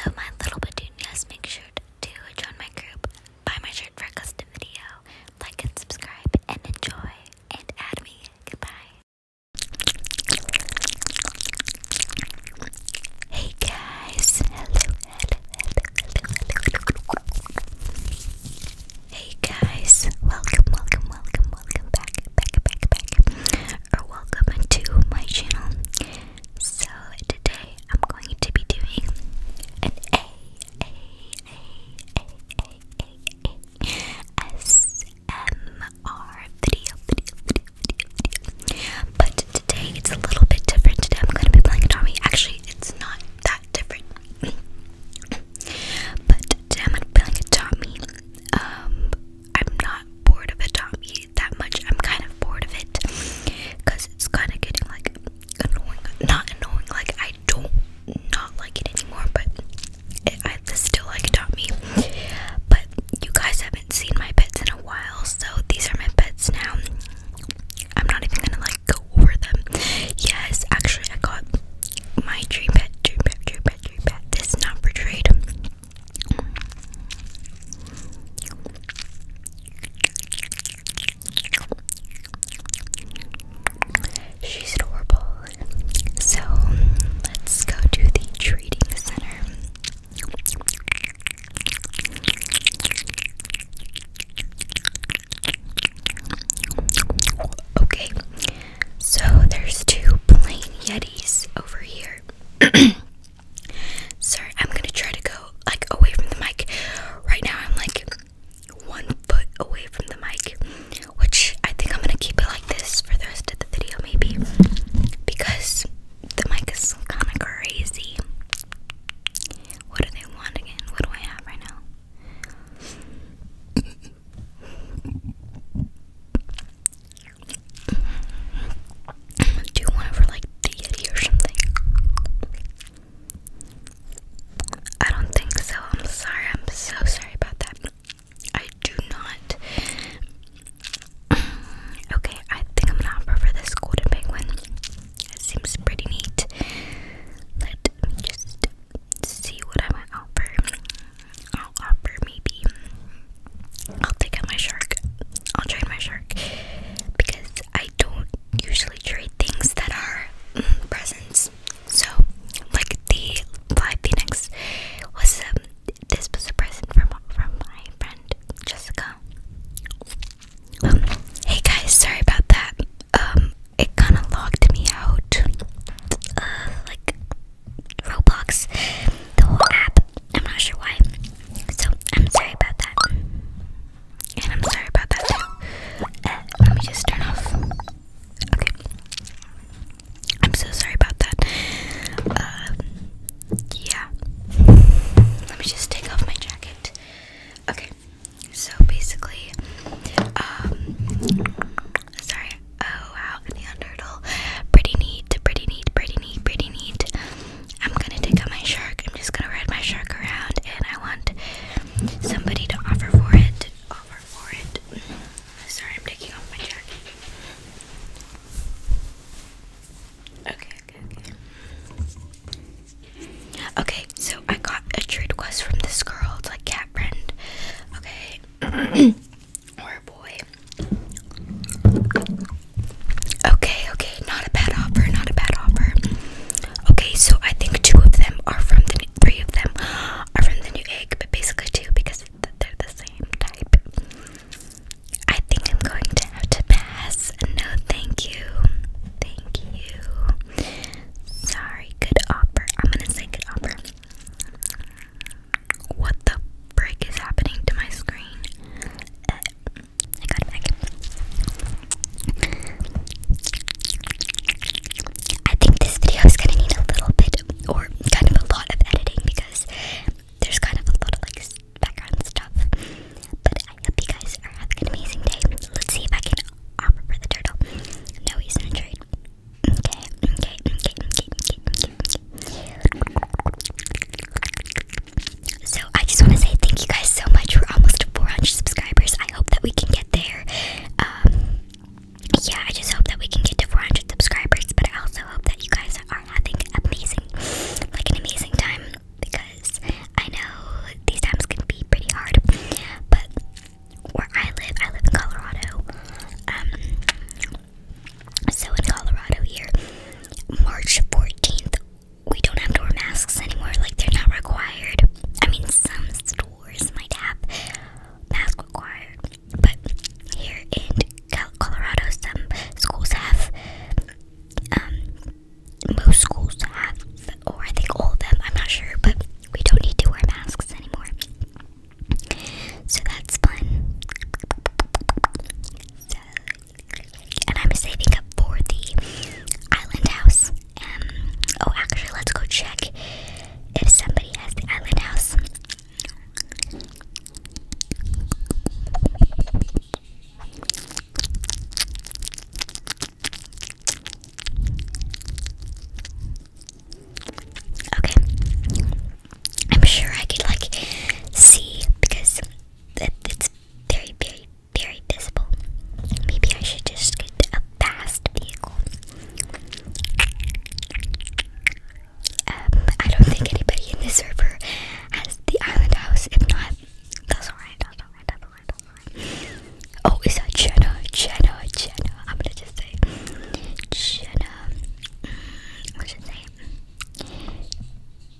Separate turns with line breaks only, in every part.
Hello, my little petunias. Make sure to join my group, buy my shirt for a custom video, like and subscribe, and enjoy, and add me. Goodbye. Hey guys. hello. Hey guys. Welcome, welcome, welcome, welcome back, back, back, back or welcome to my channel. So today I'm going to be doing an A A A A A A A S M R video video video video video. But today it's a little bit different. Today I'm gonna be playing a Tommy. Actually it's not that different. but today I'm gonna be playing a Tommy. Um I'm not bored of Atami that much. I'm kind of bored of it because it's kind of getting like annoying. Not annoying, like I don't not like it anymore, but it, I still like Atami. But you guys haven't seen my pets in a while, so these are my pets now. I'm not even gonna like go over them. Yes, actually, I got my dream pet, dream pet, dream pet, dream pet. This is not for trade. She's adorable. So let's go to the treating center. Okay, so there's two plain Yetis over here. Sorry, I'm gonna try to go like away from the mic. Right now, I'm like one foot away from the mic, which I think I'm gonna keep it like this for the rest of the video, maybe because the mic is kind of crazy. What do they want again? What do I have right now? Do you want it for like the or something? I don't think so. I'm sorry. I'm so sorry about that. I do not. okay, I think I'm gonna offer for this golden penguin. It seems pretty neat. Let me just see what I might offer. I'll offer maybe I'll take out my shark. I'll trade my shark because I don't usually trade things that are mm, presents. So, like the live phoenix was um, this was a present from from my friend Jessica. Um, hey guys, sorry about that. Um, it kind of logged me out. Uh, like Roblox,
the whole app I'm not sure why. So I'm sorry about that. And I'm sorry about that uh, let me just turn off. Okay. I'm so sorry about that. Uh, yeah. Let me just take off my jacket. Okay. So basically, um, sorry. Oh wow,
neon turtle. Pretty neat, pretty neat, pretty neat, pretty neat. I'm gonna take out my shark. I'm just gonna ride my shark around, and I want somebody to offer for it. Offer for it. Mm-hmm. Sorry, I'm taking off my jacket. Okay, okay, okay. Okay, so I got a trade request from this girl. It's like cat friend. Okay. or boy. Okay, okay, not a bad offer, not a bad offer. Okay, so I think two of them are from the three of them are from the new egg, but basically two because they're the same type. I think I'm going to have to pass. No, thank you. Thank you. Sorry, good offer. I'm gonna say good offer. What the frick is happening to my screen? Uh, I got it back. I think this video is gonna need a little bit or kind of a
lot of editing because there's kind of a lot of like background stuff. But I hope you guys are having an amazing day. Let's see if I can offer for the turtle. No, he's in a trade. okay, okay, okay, okay, okay, so I just want to say thank you guys so much. for almost 400 subscribers. I hope that we can get there. Um, yeah, I just hope that we can get to 400 subscribers. But I also hope that you guys are having amazing, like an amazing time because I know these times can be pretty hard. But where I live, I live in Colorado. Um, so in Colorado here, March 14th, we don't have to wear masks anymore. Like they're not required. I mean, some stores might have mask required, but here in Colorado, some schools have. Um, most schools have, or I think all of them. I'm not sure, but we don't need to wear masks anymore. So that's fun. And I'm saving up for the island house. Um, oh, actually, let's go check if somebody has island house. Okay. I'm sure I could like see because it, it's very, very, very visible. Maybe I should just get a fast vehicle. Um, I don't think anybody in this server has the island house. If not, that's alright, that's alright, that's alright, that's alright. Oh, is that Jenna? Jenna, Jenna. I'm gonna just say Jenna. Mm, what's should name?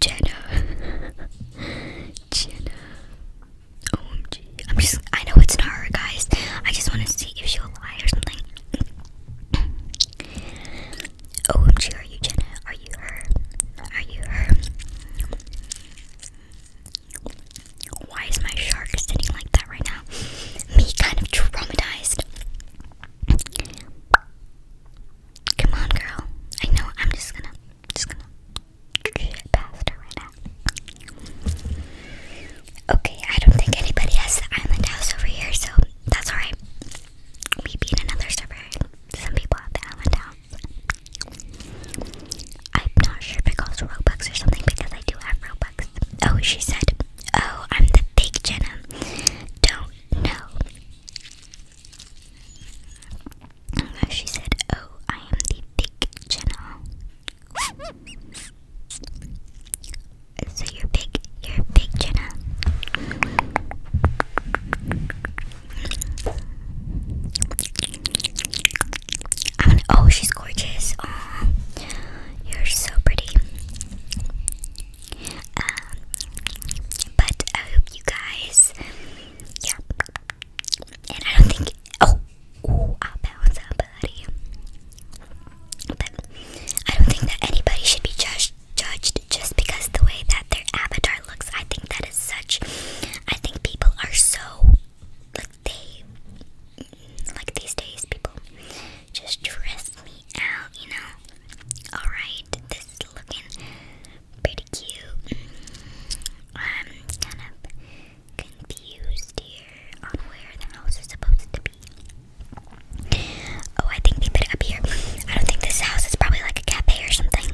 Jenna. Jenna. OMG. I'm just, I know it's not her, guys. I just want to see if she'll lie or something. OMG, are you Jenna? Are you her? Are you her? Why is my shark sitting like that right now? Me kind of traumatized. Come on, girl. I know. I'm just gonna, just gonna shit past her right now. Okay, I don't think anybody has the island house over here, so that's alright. We beat another server. Some people have the island house. I'm not sure if it calls Robux or something because I do have Robux. Oh, she said, Oh, I'm the fake Jenna. Don't know. She said, Oh, I am the big Jenna. so you're big, you're big Jenna. oh, she's gorgeous. you're so pretty. Um, but I hope you guys, yeah. And I don't think, oh, I'll bounce But I don't think that anybody should be judged, judged just because the way that their avatar looks. I think that is such. I think people are so like they like these days. People just dress me out, you know. All right, this looking pretty cute. I'm kind of confused here on where the house is supposed to be. Oh, I think they put it up here. I don't think this house is probably like a cafe or something.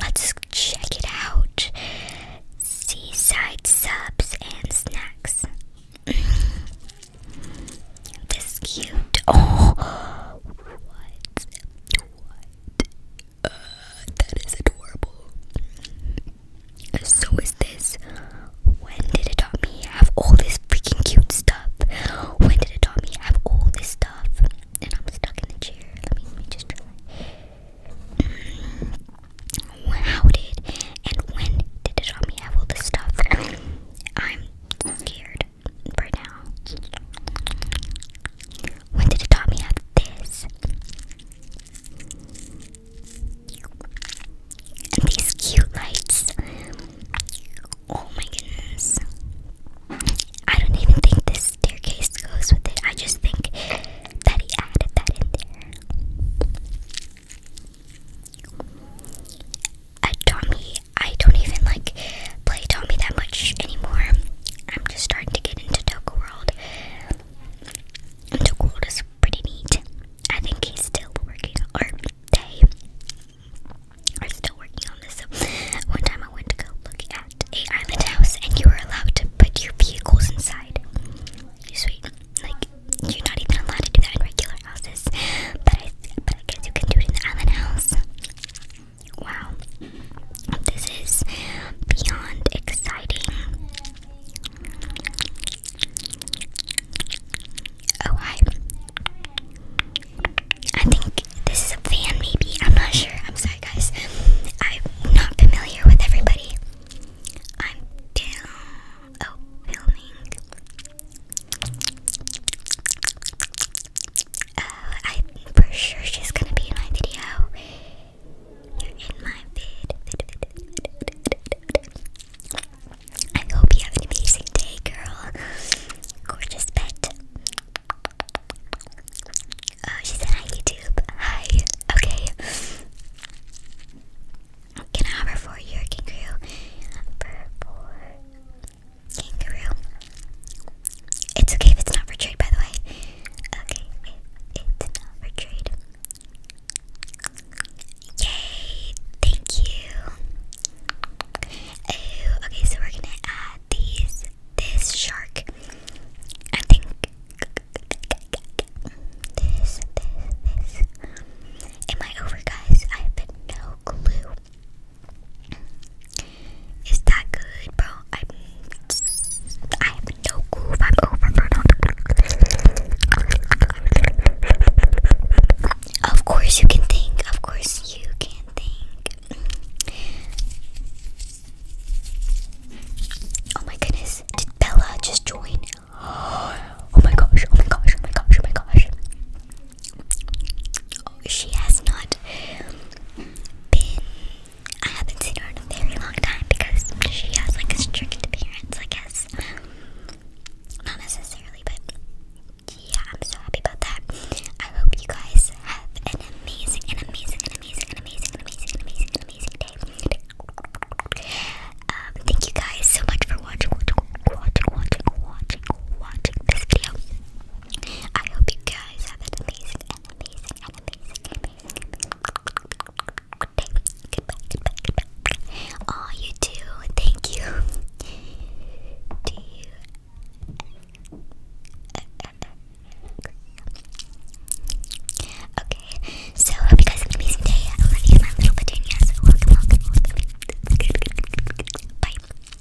Let's check it out. Seaside subs and snacks. This is cute. Oh, what? What? Uh, that is adorable. So is this. When did it have all this freaking cute stuff? When did it have all this stuff? And I'm stuck in the chair. Let me, just try. Mm. How did and when did it have all this stuff? I'm scared for now. When did you have this? And these cute lights. Oh my goodness. I don't even think this staircase goes with it. I just think that he added that in there. Tommy. I don't even like play Tommy that much anymore. I'm just starting to get into Toka World. And World is pretty neat. I think he's still working, or they are still working on this. one time I went to go look at a island house, and you were allowed to put your vehicles inside. sweet, like you're not even allowed to do that in regular houses, but but I guess you can do it in the island house. Wow, this is beyond exciting. Oh, hi. I think this is a van, maybe. I'm not sure. I'm sorry, guys. I'm not familiar with everybody. I'm down. Oh, filming. Uh, I'm for sure she's gonna be in my video. You're in my vid. I hope you have an amazing day, girl. Gorgeous pet. Oh, uh, she said hi, YouTube. Hi. Okay. Can I have her for your kangaroo? For Kangaroo. It's okay if it's not for trade, by the way. Okay, it's not for trade. Yay! Thank you. Oh, okay, so we're gonna add these. This shark. I think this, this, this. Am I over, guys? I have no clue. Is that good, bro? I'm, I have no clue if I'm over Of course you can think. Of course you can think. Oh my goodness. Did Bella just join? Oh my gosh. Oh my gosh. Oh my gosh. Oh my gosh. She has not been. I haven't seen her in a very long time because she has like a strict appearance, I guess. Not necessarily, but yeah, I'm so happy about that. I hope you guys have an amazing, an amazing, an amazing, an amazing, an amazing, an amazing, an amazing day. Um, thank you guys so much for watching, watching, watching, watching, watching, watching this video. I hope you guys have an amazing amazing amazing, day. oh, you too. Thank you. Do you. Okay, so hope you guys have an amazing day. I love you, my little petunias. Welcome, welcome, Bye.